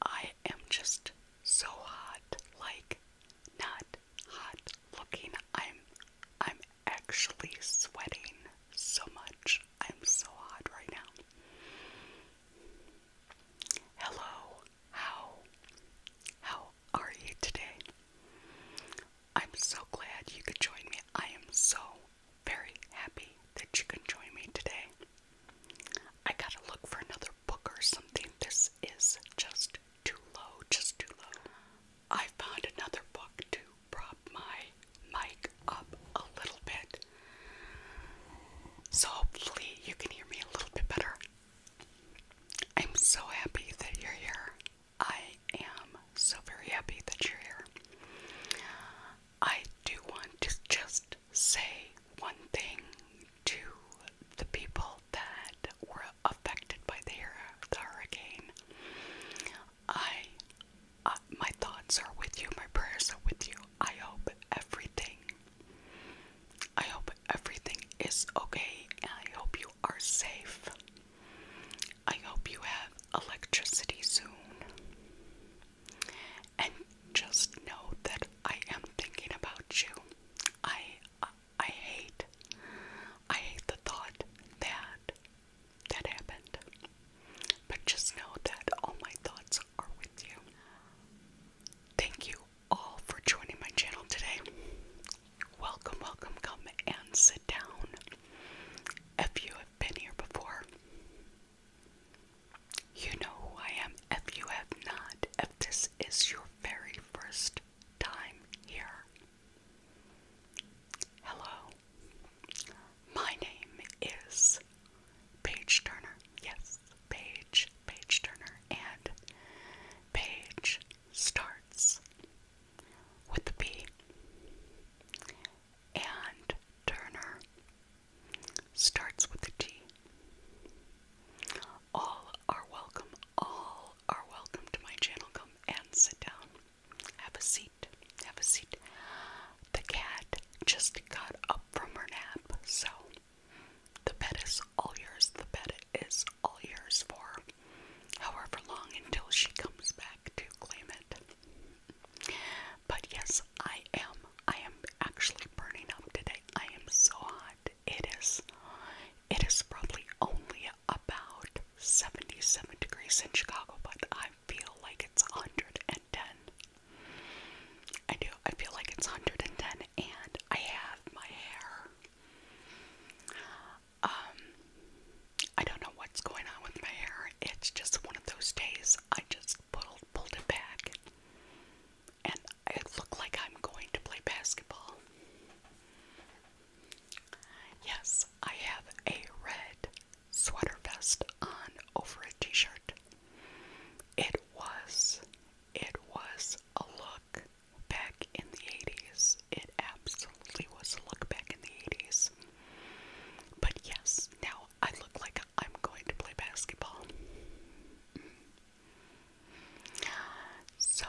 I am just so hot, like not hot looking. I'm I'm actually sweating so much. I'm so hot right now. Hello. How how are you today? I'm so glad you could join me. I am so very happy that you can join me today. I gotta look for another book or something. This is just too low, just too low. I found another book to prop my mic up a little bit. So hopefully you can hear me a little bit better. I'm so happy that you're here. I am so very happy that you're here. I do want to just say one thing to the people that were affected by the, hurricane. I, uh, my thoughts are with you, my prayers are with you. I hope everything, I hope everything is okay, and I hope you are safe. I hope you have electricity soon and just know that I am thinking about you. I I hate I hate the thought that that happened. But just know that all my thoughts are with you. Thank you all for joining my channel today. Welcome, welcome, come and sit down. If you have been here before, you know who I am if you have not, if this is your very first time here. Hello. My name is Paige Turner. Yes, Paige, Paige Turner. And Page starts with the P. And Turner starts with a T. All are welcome. All are welcome to my channel. Come and sit down. Have a seat. Have a seat. The cat just got up from her nap, so the bed is all yours. The bed is all yours for however long until she comes back to claim it. But yes, I am. I am actually burning up today. I am so hot. It is it is probably only about 77 degrees in Chicago, but I feel like it's 110. I do. I feel like it's 110 and I have my hair. Um I don't know what's going on with my hair. It's just one of those days I just pulled, it back, and it looked like I'm going to play basketball. Yes, I have a red sweater vest on over a t-shirt. It was, it was a look back in the 80s. It absolutely was a look back in the 80s. But yes, now I look like I'm going to play basketball. So,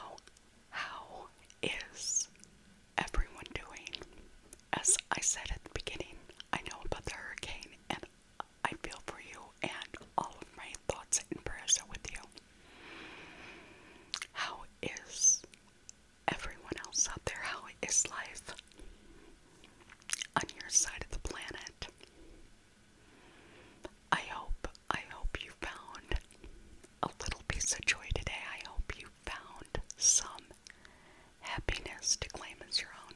how is everyone doing? As I said at the beginning, I know about the hurricane and I feel for you and all of my thoughts and prayers are with you. How is everyone else out there? How is life on your side of the planet? I hope I hope you found a little piece of joy today. I hope you found some happiness to claim as your own.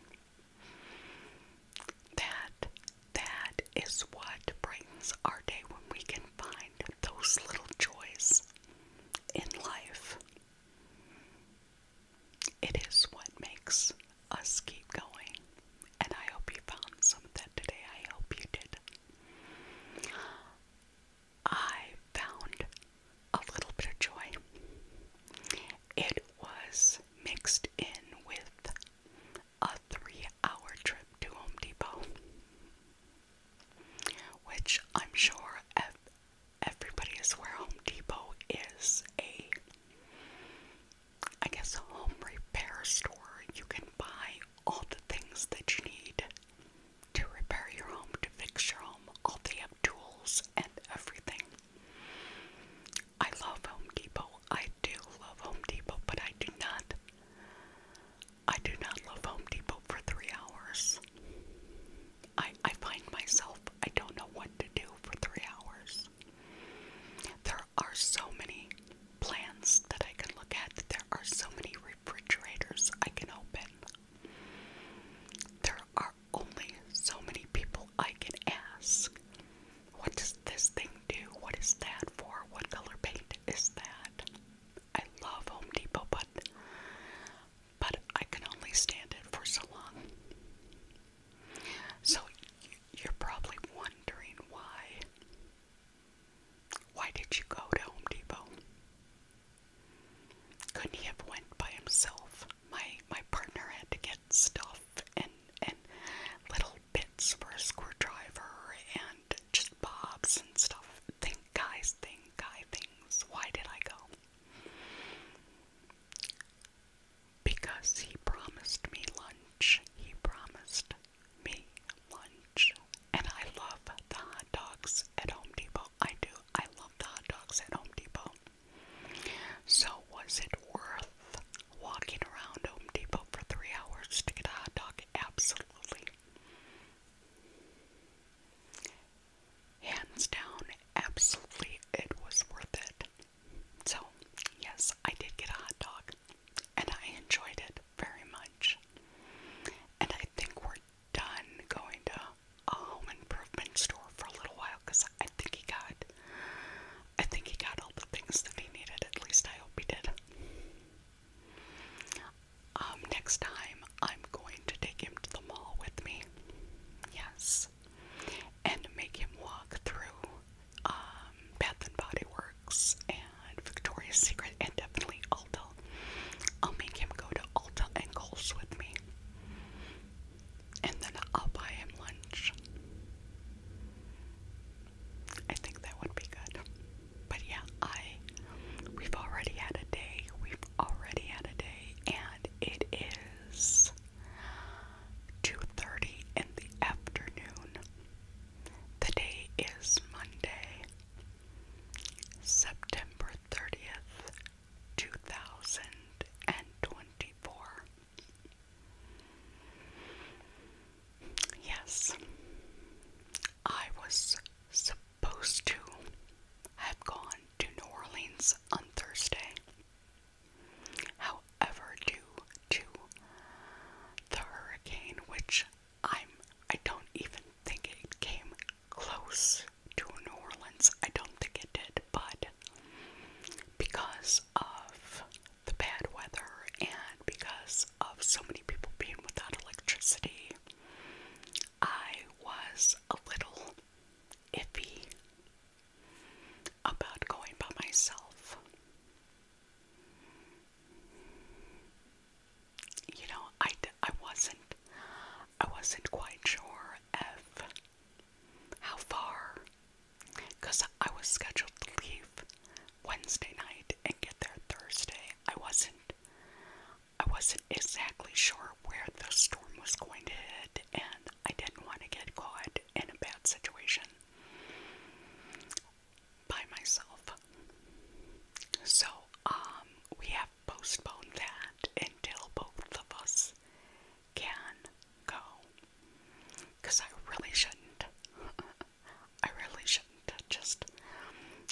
That that is what brings our day when we can find those little joys in life it is what makes us keep going. And I hope you found some of that today. I hope you did. I found a little bit of joy. It was mixed in with a three hour trip to Home Depot, which I'm sure everybody is aware Home Depot is a I guess, a home repair store. You can buy all the things that you need to repair your home, to fix your home. All the tools and everything. I love Home Depot. I do love Home Depot, but I do not. I do not love Home Depot for three hours. I I find myself I don't know what to do for three hours. There are so many plants that I can look at. There are so many refrigerators I can open. There are only so many people I can ask. What does this thing do? What is that for? What color paint is that? I love Home Depot, but but I can only stand it for so long. So you're probably wondering why. Why did you go to Home Depot? Couldn't he have went by himself? My my partner had to get stuff and and little bits for a screwdriver and just bobs and stuff. Think guys, think guy things. Why did I go? because he promised me lunch. He promised me lunch. And I love the hot dogs at Home Depot. I do. I love the hot dogs at Home Depot. So, was it worth walking around Home Depot for three hours to get a hot dog? Absolutely. Hands down, absolutely, it was worth it. So, yes, I did get a hot dog and I enjoyed it very much. And I think we're done going to a home improvement store for a little while because I think he got I think he got all the things that he needed. At least I hope he did. Um, next time I'm going to take him to the mall with me. Yes and make him walk through um, Bath and Body Works and Victoria's Secret and definitely Ulta. I'll make him go to Ulta and Kohl's with me. And then I'll buy him lunch. I think that would be good. But yeah, I we've already had a day. We've already had a day and it is 2:30 in the afternoon. The day is Monday, September 30th, 2024. Yes, I was supposed to have gone to New Orleans on Thursday, However, due to the hurricane, which I'm I don't even think it came close to New Orleans. I don't think it did, but because of the bad weather and because of so many people being without electricity, I was a little iffy about going by myself. You know, I, I wasn't I wasn't quite sure if how far because I was scheduled to leave Wednesday night and get there Thursday. I wasn't I wasn't exactly sure where the storm was going to hit and I didn't want to get caught in a bad situation by myself. So, um, we have postponed that until both of us can go. Because I really shouldn't. I really shouldn't just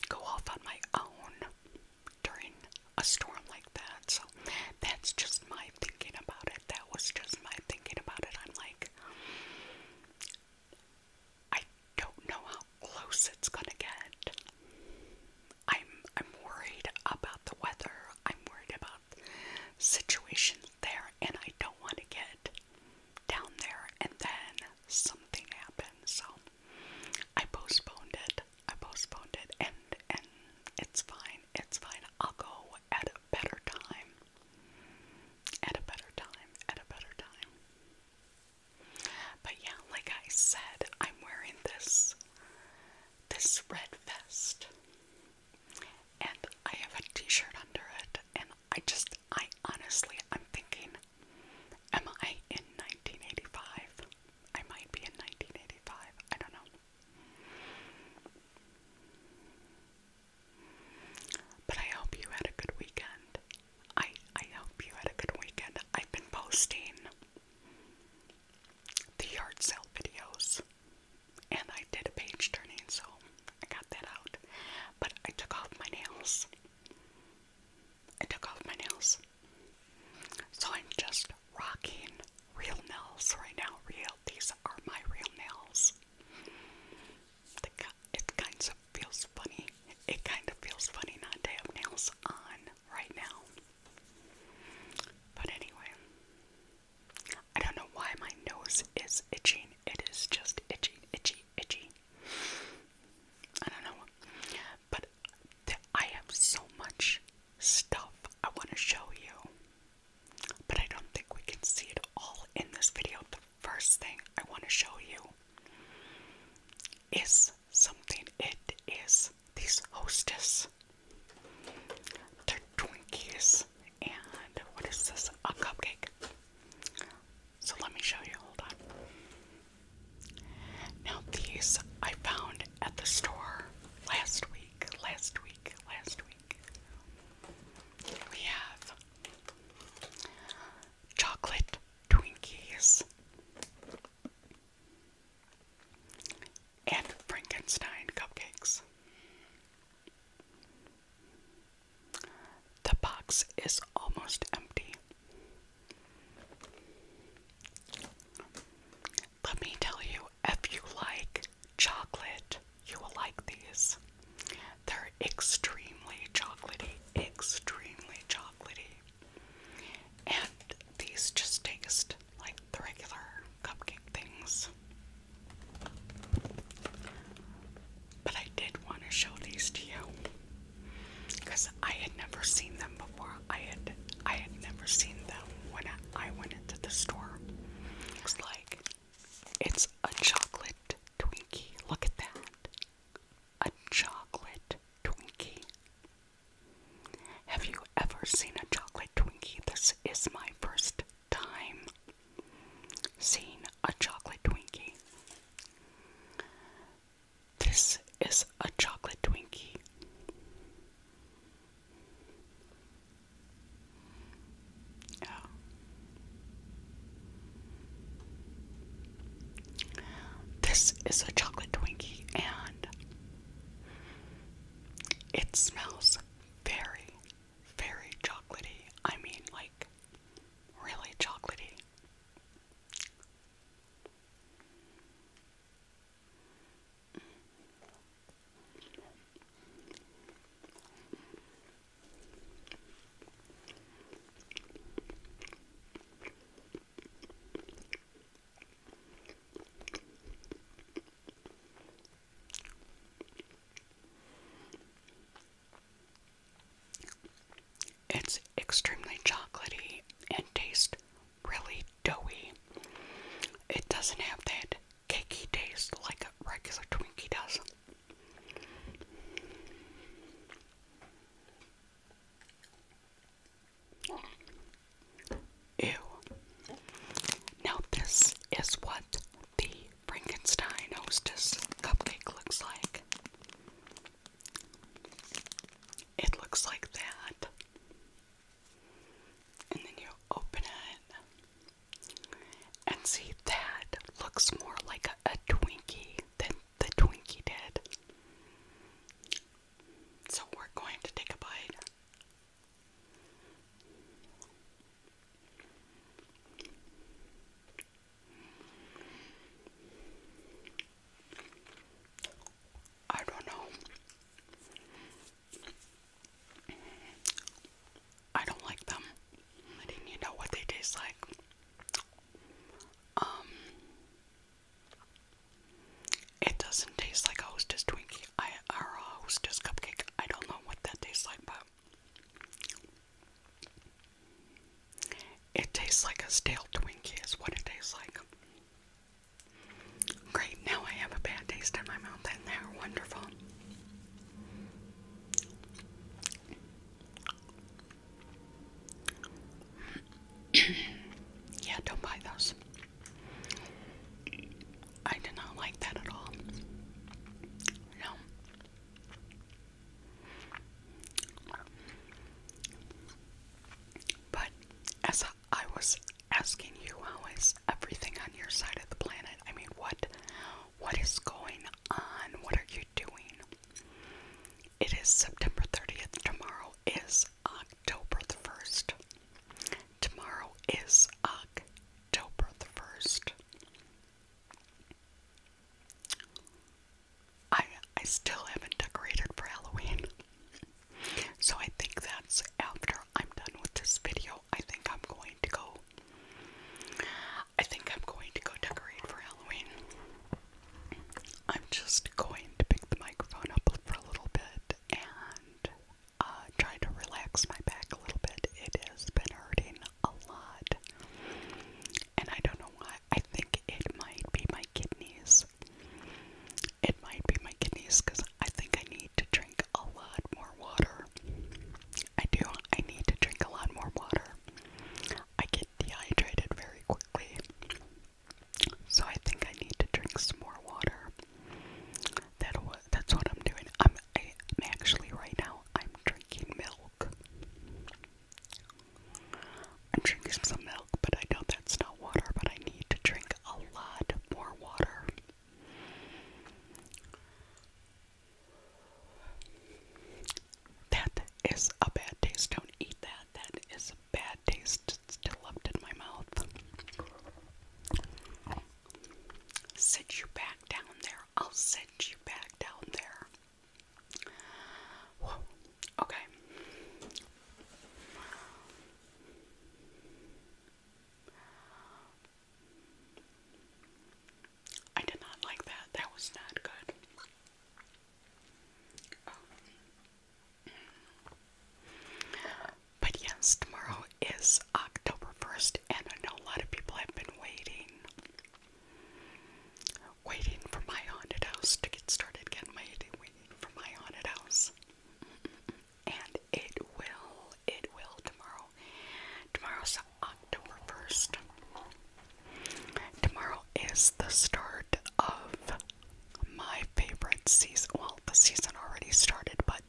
go off on my own during a storm like that. So, that's just my thinking about it. That was just my thinking about it. I'm like, I don't know how close it's gonna get. I'm I'm worried about the weather. I'm worried about situations there, and I don't want to get down there and then something happens. So I postponed it. I postponed it, and and it's fine. It's fine. I'll go at a better time. At a better time. At a better time. But yeah, like I said, I'm wearing this this red vest. And I have a t-shirt under it. And I just I honestly I'm thinking Am I in 1985? I might be in 1985. I don't know. But I hope you had a good weekend. I I hope you had a good weekend. I've been posting the yard sale videos and I did a page turning, so I got that out. But I took off my nails. I took off my nails. So I'm just rocking real nails right now. Real these are my real nails it kind of feels funny. It kind of feels funny not to have nails on right now. But anyway, I don't know why my nose is itching. It is just itchy, itchy, itchy. I don't know. But I have so much stuff I want to show you but I don't think we can see it all in this video. The first thing I want to show you is something. It is these hostess. They're Twinkies and what is this? A cupcake. So let me show you. Hold on. Now these I found at the store last week, last week, last week we have chocolate Twinkies and Frankenstein cupcakes. The box is almost empty. Let me tell you if you like chocolate. You will like these. They're extremely chocolatey, extremely chocolatey. And these just taste like the regular cupcake things. But I did want to show these to you because I had never seen them before. I had I had never seen them when I, went into the store. Looks like it's a chocolate Twinkie. Look at that. A chocolate Twinkie. Have you ever seen a chocolate Twinkie? This is my first time seeing a chocolate Twinkie. This is a chocolate Twinkie. This is a chocolate Twinkie and it smells very, very chocolatey. I mean, like, really chocolatey. It's extremely chocolatey and tastes really doughy. It doesn't have that cakey taste like a regular Twinkie does. Ew. Now this is what the Frankenstein Hostess cupcake looks like. It looks like that. And then you open it. And see, that looks more like a, Twinkie than the Twinkie did. So we're going to take a bite. I don't know. I don't like them. I Letting you know what they taste like. Um, it doesn't taste like a Hostess Twinkie I, or a Hostess Cupcake. I don't know what that tastes like, but it tastes like a stale Twinkie is what it tastes like. Great, now I have a bad taste in my mouth and they're wonderful. yeah, don't buy those. I did not like that at all. No. But as I was asking you, how is everything on your side of the planet? I mean, what what is going on? What are you doing? It is September 30th. Tomorrow is October the 1st. Tomorrow is October the 1st. I I still haven't decorated for Halloween. So I think that's after I'm done with this video. I think I'm going to go. I think I'm going to go decorate for Halloween. I'm just going to pick the microphone up for a little bit and uh, try to relax my back a little bit. It has been hurting a lot. And I don't know why. I think it might be my kidneys. It might be my kidneys because I think I need to drink a lot more water. I do. I need to drink a lot more water. I get dehydrated very quickly. So I think I need to drink some more water. That that's what I'm doing. I'm I, am doing i am actually right now I'm drinking milk. I'm drinking some milk, but I know that's not water, but I need to drink a lot more water. That is a bad taste. Don't eat that. That is a bad taste. It's still left in my mouth. Sit you back down there. I'll sit you back down there. Okay. I did not like that. That was not good. But yes, tomorrow is October 1st, and I know a lot of people have been waiting. Waiting for my haunted house to get started again. Waiting for my haunted house. And it will. It will tomorrow. Tomorrow's October 1st. Tomorrow is the start of my favorite season. Well, the season already started, but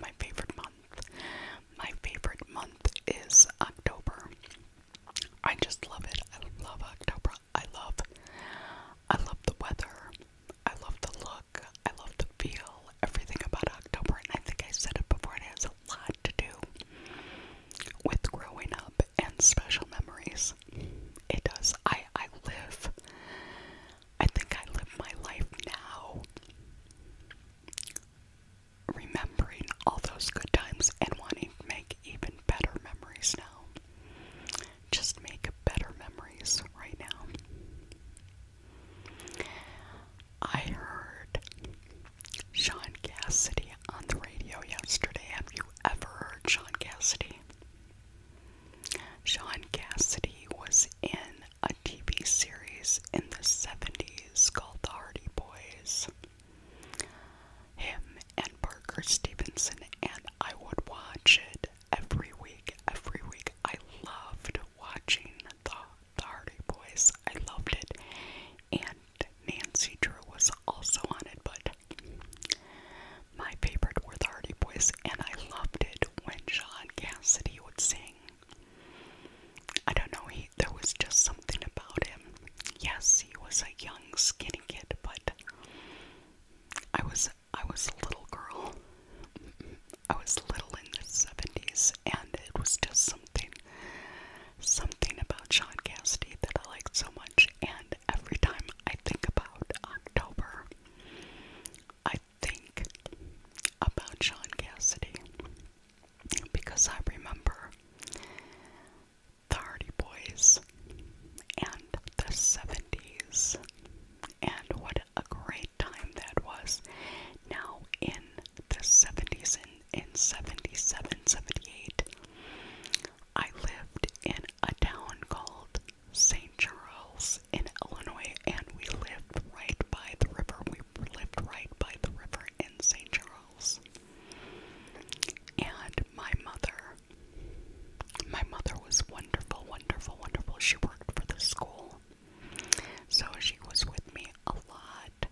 my favorite month. My favorite month is October. I just love it. I love October. I love I love the weather. I love the look. I love the feel everything about October, and I think I said it before, it has a lot to do with growing up and special memories. It does. I, I live, I think I live my life now remembering all those good times and wanting to make even better memories now. Just make better memories right now. I heard Sean Cassidy on the radio yesterday. Have you ever heard Sean Cassidy? Sean Cassidy was in a TV series in the 70s called The Hardy Boys. Him and Parker Stevenson, and I would watch it every week. Every week, I loved watching the the Hardy Boys. I loved it. And Nancy Drew was also on it, but my favorite were the Hardy Boys, and I loved it when Sean Cassidy would sing. I don't know, he, there was just something about him. Yes, he was a young, skinny kid, but I was I was a little girl. I was little in the 70s, and it was just something something about Sean Cassidy that I like so much, and every time I think about October, I think about Sean Cassidy because I remember the Hardy Boys and the 70s and what a great time that was. Now, in the 70s and in 77 I lived in a town called St. Charles in Illinois, and we lived right by the river. We lived right by the river in St. Charles. And my mother, my mother was wonderful, wonderful, wonderful. She worked for the school. So she was with me a lot that.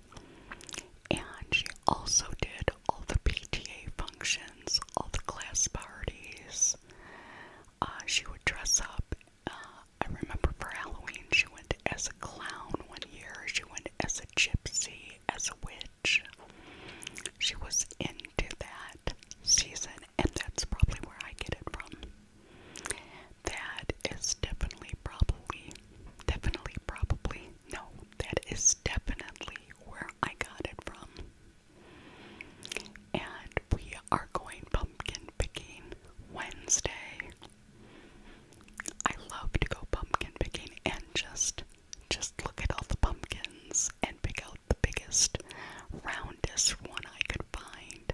And she also did all the PTA functions, all the class parties. Uh, she would dress up. Uh, I remember for Halloween, she went as a clown one year, she went as a gypsy, as a witch. She was into that season, and that's probably where I get it from. That is definitely probably Definitely, probably. No, that is definitely where I got it from. And we are going pumpkin picking Wednesday. I love to go pumpkin picking and just just look at all the pumpkins and pick out the biggest, roundest one I could find.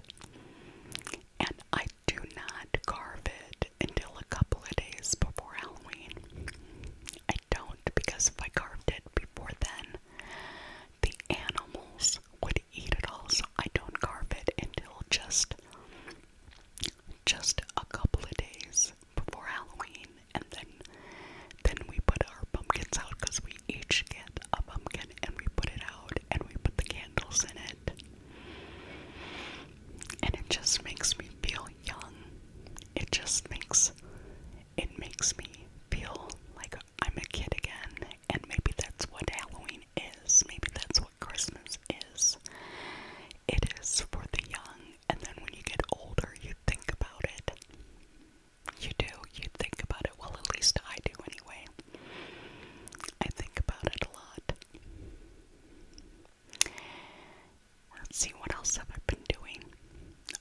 And I do not carve it until a couple of days before Halloween. I don't because if I carved it before then, the animals would eat it all, so I don't carve it until just just a couple of days before Halloween, and then then we put our pumpkins out because we each get a pumpkin and we put it out and we put the candles in it. And it just makes me feel young. It just makes it makes me feel like I'm a kid again. And maybe that's what Halloween is. Maybe that's what Christmas is. It is for the young, and then when you get older, you think about it. You do, you think about it. Well, at least I do anyway. I think about it a lot. Let's see what else have I been doing.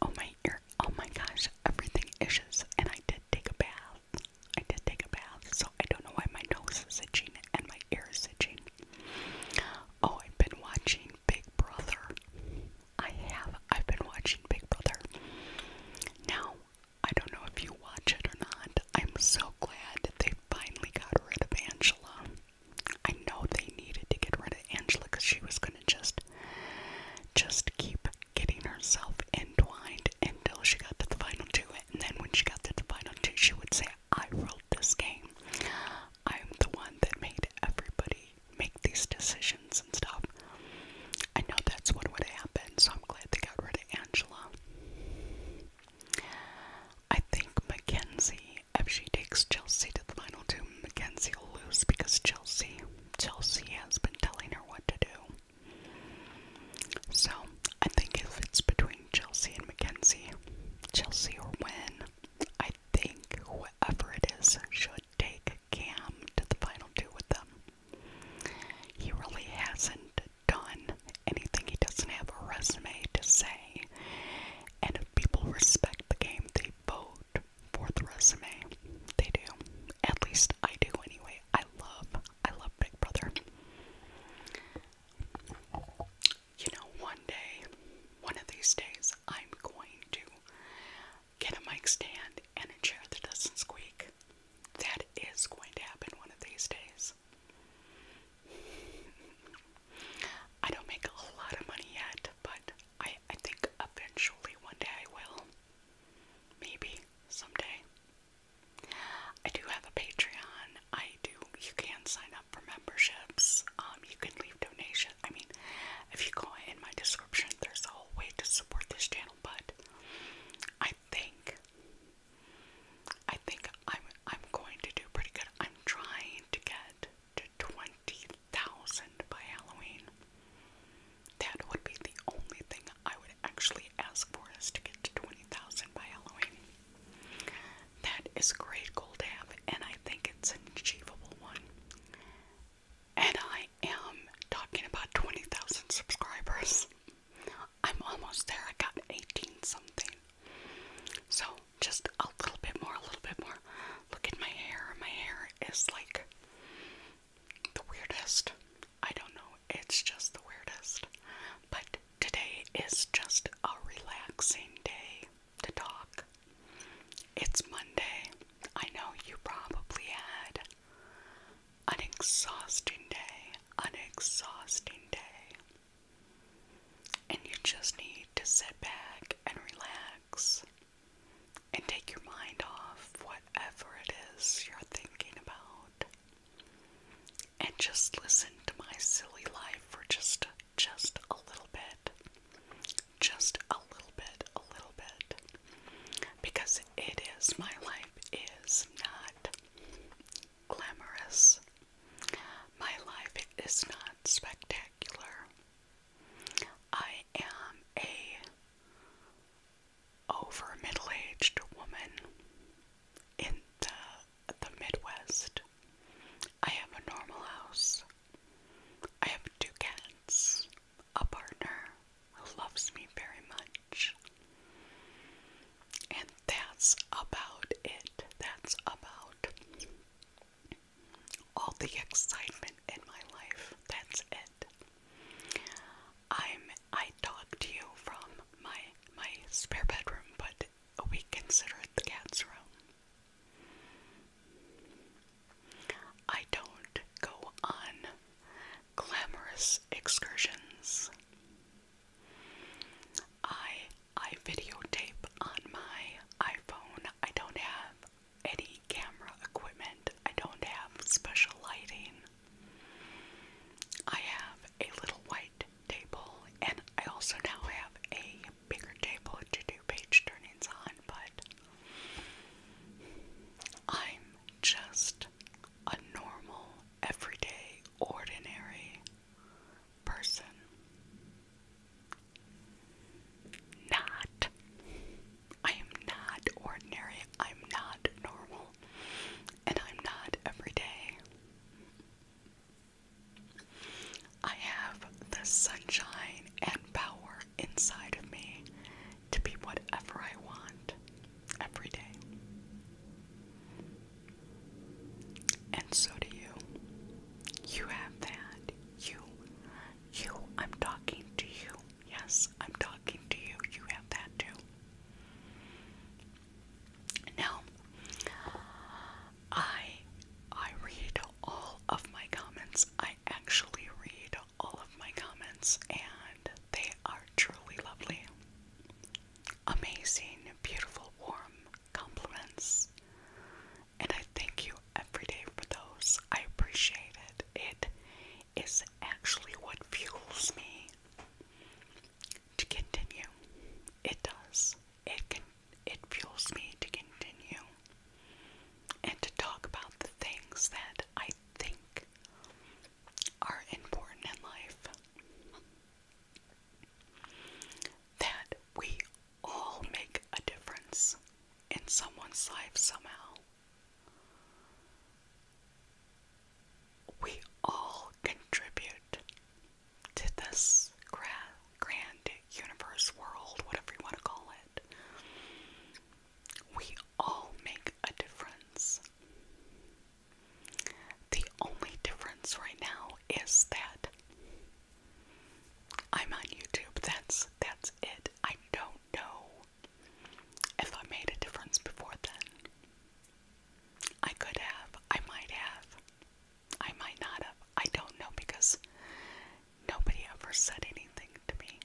Oh my ear! Oh my gosh! Everything itches, and I did take a bath. I did take a bath, so I don't know why my nose is itching and my ear is itching. Oh, I've been watching Big Brother. I have. I've been watching Big Brother. Now, I don't know if you watch it or not. I'm so glad that they finally got rid of Angela. I know they needed to get rid of Angela because she was gonna just just keep getting herself entwined until she got to the final two. And then when she got to the final two, she would say, I ruled this game. I'm the one that made everybody make these decisions and stuff. I know that's what would happen, so I'm glad they got rid of Angela. I think Mackenzie, if she takes Chelsea to the final two, Mackenzie will lose because Chelsea, Chelsea has been telling her what to do. So I think if it's between Chelsea and Mackenzie, Chelsea will win. I think whoever it is should take Cam to the final two with them. He really hasn't done anything. He doesn't have a resume to say. And if people respect the game, they vote for the resume. They do. At least I do anyway. I love, I love Big Brother. You know, one day, one of these days, I'm going to get a mic stand and a chair that doesn't squeak. That is going to happen one of these days. I don't make a lot of money yet, but I, I think eventually one day I will. Maybe someday. I do have a Patreon. I do. You can sign up for memberships. Um, you can leave donations. I mean, if you go in my description, there's a whole way to support this channel. But I think I think I'm I'm going to do pretty good. I'm trying to get to twenty thousand by Halloween. That would be the only thing I would actually ask for us to get to twenty thousand by Halloween. That is a great goal to have, and I think it's an achievable one. And I am talking about 20,000 subscribers. I'm almost there. I got 18 something. So just a little bit more, a little bit more. Look at my hair. My hair is like the weirdest. I don't know. It's just the weirdest. But today is just a relaxing day to talk. It's Monday. I know you probably had an exhausting day. An exhausting day. And you just need to sit back and relax and take your mind off whatever it is you're thinking about. And just listen to my silly life for just just a little bit. Just a little bit, a little bit. Because it is my life is not glamorous. My life is not spectacular. I am a over middle-aged woman in the, the Midwest. I have a normal house. I have two cats, a partner who loves me very much, and that's about it. That's about all the excitement in my life. That's it. I'm I talk to you from my my spare bedroom, but we consider the cat's room. I don't go on glamorous excursions. I I videotape on my iPhone. I don't have any camera equipment, I don't have special lighting. I have a little white table, and I also now have a bigger table to do page turnings on, but I'm just a normal, everyday, ordinary person. Not. I am not ordinary. I'm not normal. And I'm not everyday. I have the sunshine and power inside of me to be whatever I want every day. And so do you. You have that. You. You. I'm talking to you. Yes, I'm talking to you. You have that too. Now, I I read all of my comments. I actually read all of my comments and they are truly lovely. Amazing, beautiful, warm, compliments. And I thank you every day for those. I appreciate it. It is actually what fuels me to continue. It does. It can it fuels me to continue and to talk about the things that I think are important in life that we all make a difference in someone's life somehow. We all contribute to this grand universe world, whatever you want to call it. We all make a difference. The only difference right now is that I'm on YouTube. That's that's it. I don't know if I made a difference before then. I could have. I might have. I might not have. I don't know because nobody ever said anything to me.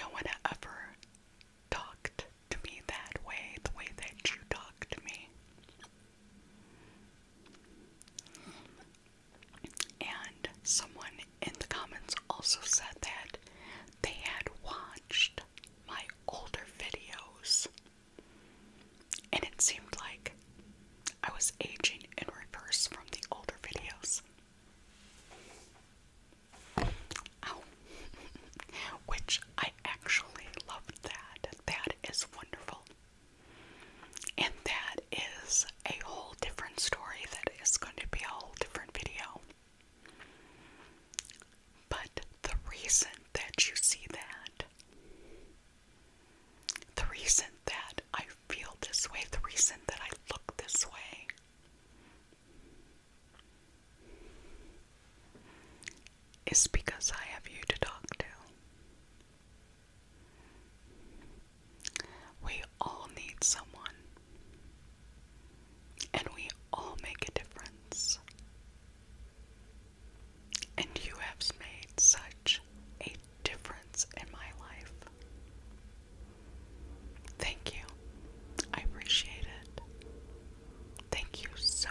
No one ever talked to me that way, the way that you talked to me. And someone in the comments also said that they had watched my older videos. And it seemed like I was aging in reverse from the older videos. Ow. Which I actually love. that. That is wonderful. And that is a whole different story that is going to be a whole different video. But the reason that you see that, the reason that I feel this way, the reason that I look this way, it's because I have you to talk to. We all need someone, and we all make a difference. And you have made such a difference in my life. Thank you. I appreciate it. Thank you so,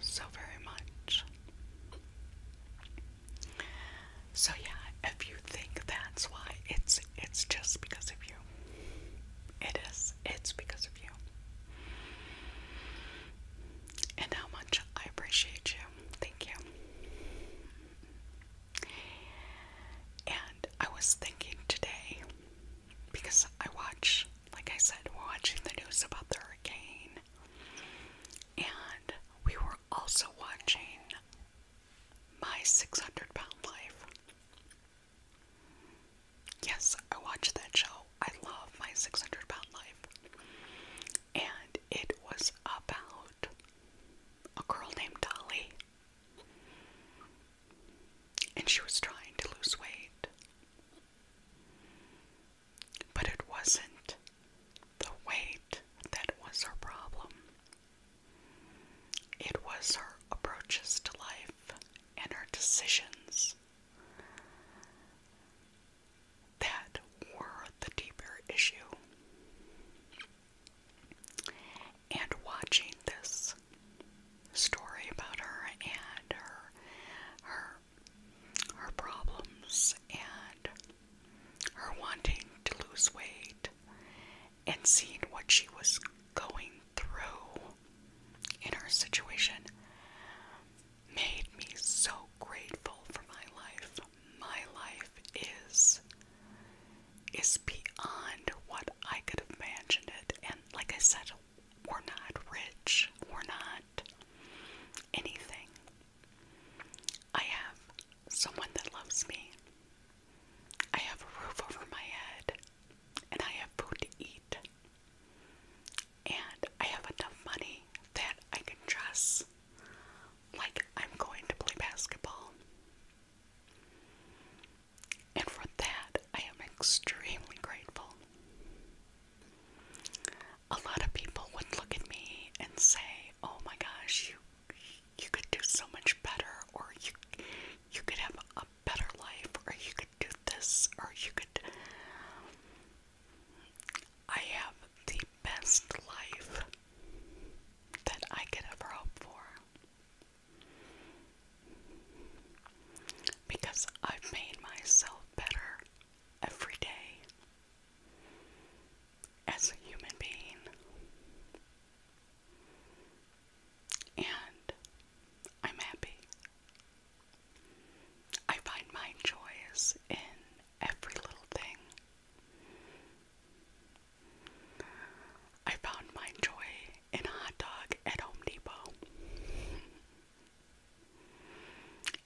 so very much. So yeah, if you think that's why, it's it's just because of you. It is. It's because of you. And how much I appreciate you. Thank you. And I was thinking today because I watch, like I said, watching the news about the hurricane, and we were also watching My 600 Pound Life. Yes, I watched that show. I love My 600 Pound Life. And it was about a girl named Dolly and she was trying to lose weight. But it wasn't the weight that was her problem, it was her approaches to life and her decisions that were the deeper issue and watching this story about her and her her her problems and her wanting to lose weight and seeing what she was going through in her situation made me so grateful for my life. My life is is beyond what I could have imagined it and like I said we're not rich. We're not anything. I have someone that loves me. I have a roof over my head. And I have food to eat. And I have enough money that I can dress like I'm going to play basketball. And for that, I am extremely grateful. A lot of people would look at me and say, "Oh my gosh, you you could do so much better or you you could have a better life or you could do this or you could I have the best life that I could ever hope for. Because I've made myself better every day as a human being. And I'm happy. I find my joys in every little thing. I found my joy and a hot dog at Home Depot.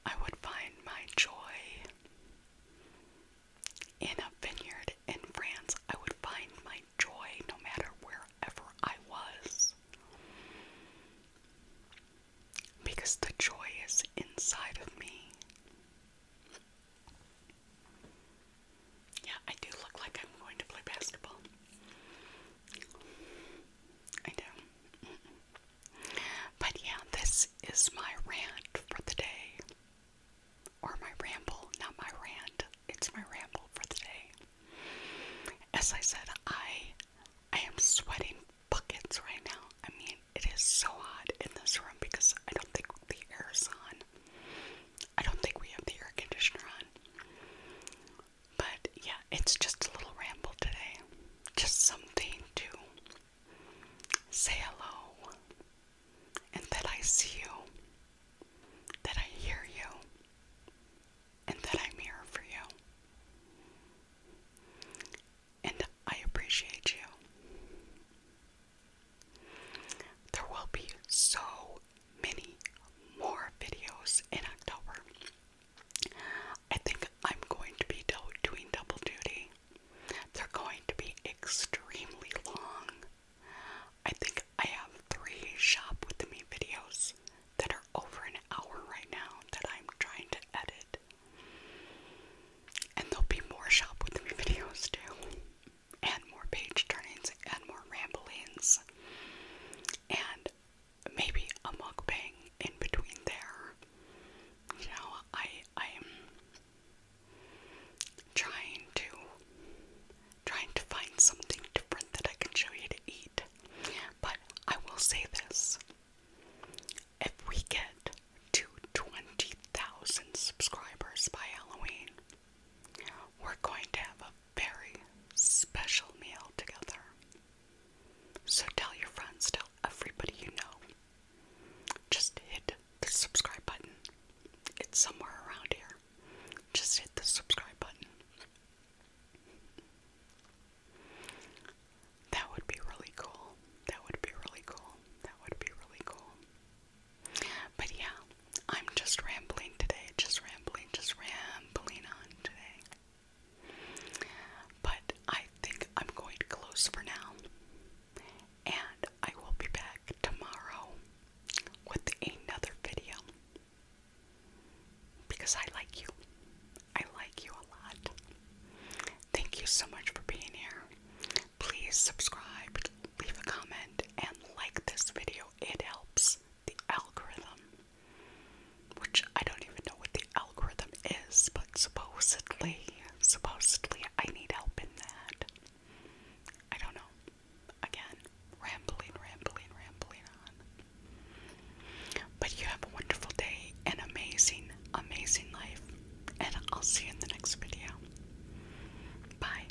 I would find my joy in a vineyard in France. I would find my joy no matter wherever I was. Because the joy is inside of me. Yeah, I do look like I'm going to play basketball. I do. But yeah, this is my rant for the day. Or my ramble, not my rant. It's my ramble for the day. As I said, I I am sweating buckets right now. I mean, it is so hot in this room because I don't think the air is on. I don't think we have the air conditioner on. But yeah, it's just a little ramble today. Just something to say hello and that I see you, that I hear you, and that I'm here for you. And I appreciate you. There will be so many more videos in October. I think I'm going to be doing double duty. They're going to be extremely long. I think I have three Shop With Me videos that are over an hour right now that I'm trying to edit. And there'll be more Shop With Me videos too. And more page turnings and more ramblings. And maybe a mukbang in between there. You know, I I am trying to trying to find something different that I can show you to eat. But I will say this. If we get to 20,000 subscribers by Halloween, we're going to have a very special meal together. So tell your friends, tell everybody you know. Just hit the subscribe button. It's somewhere around here. Just hit the subscribe button. That would be really cool. That would be really cool. That would be really cool. But yeah, I'm just rambling today. Just rambling just rambling on today. But I think I'm going to close for now. And I will be back tomorrow with another video. Because I like you. I like you a lot. Thank you so much for being here. Please subscribe, leave a comment, and like this video. It helps the algorithm which I don't even know what the algorithm is, but supposedly, supposedly I need help in that. I don't know. Again, rambling, rambling, rambling on. But you have a wonderful day, an amazing, amazing life, and I'll see you in the next video. Bye.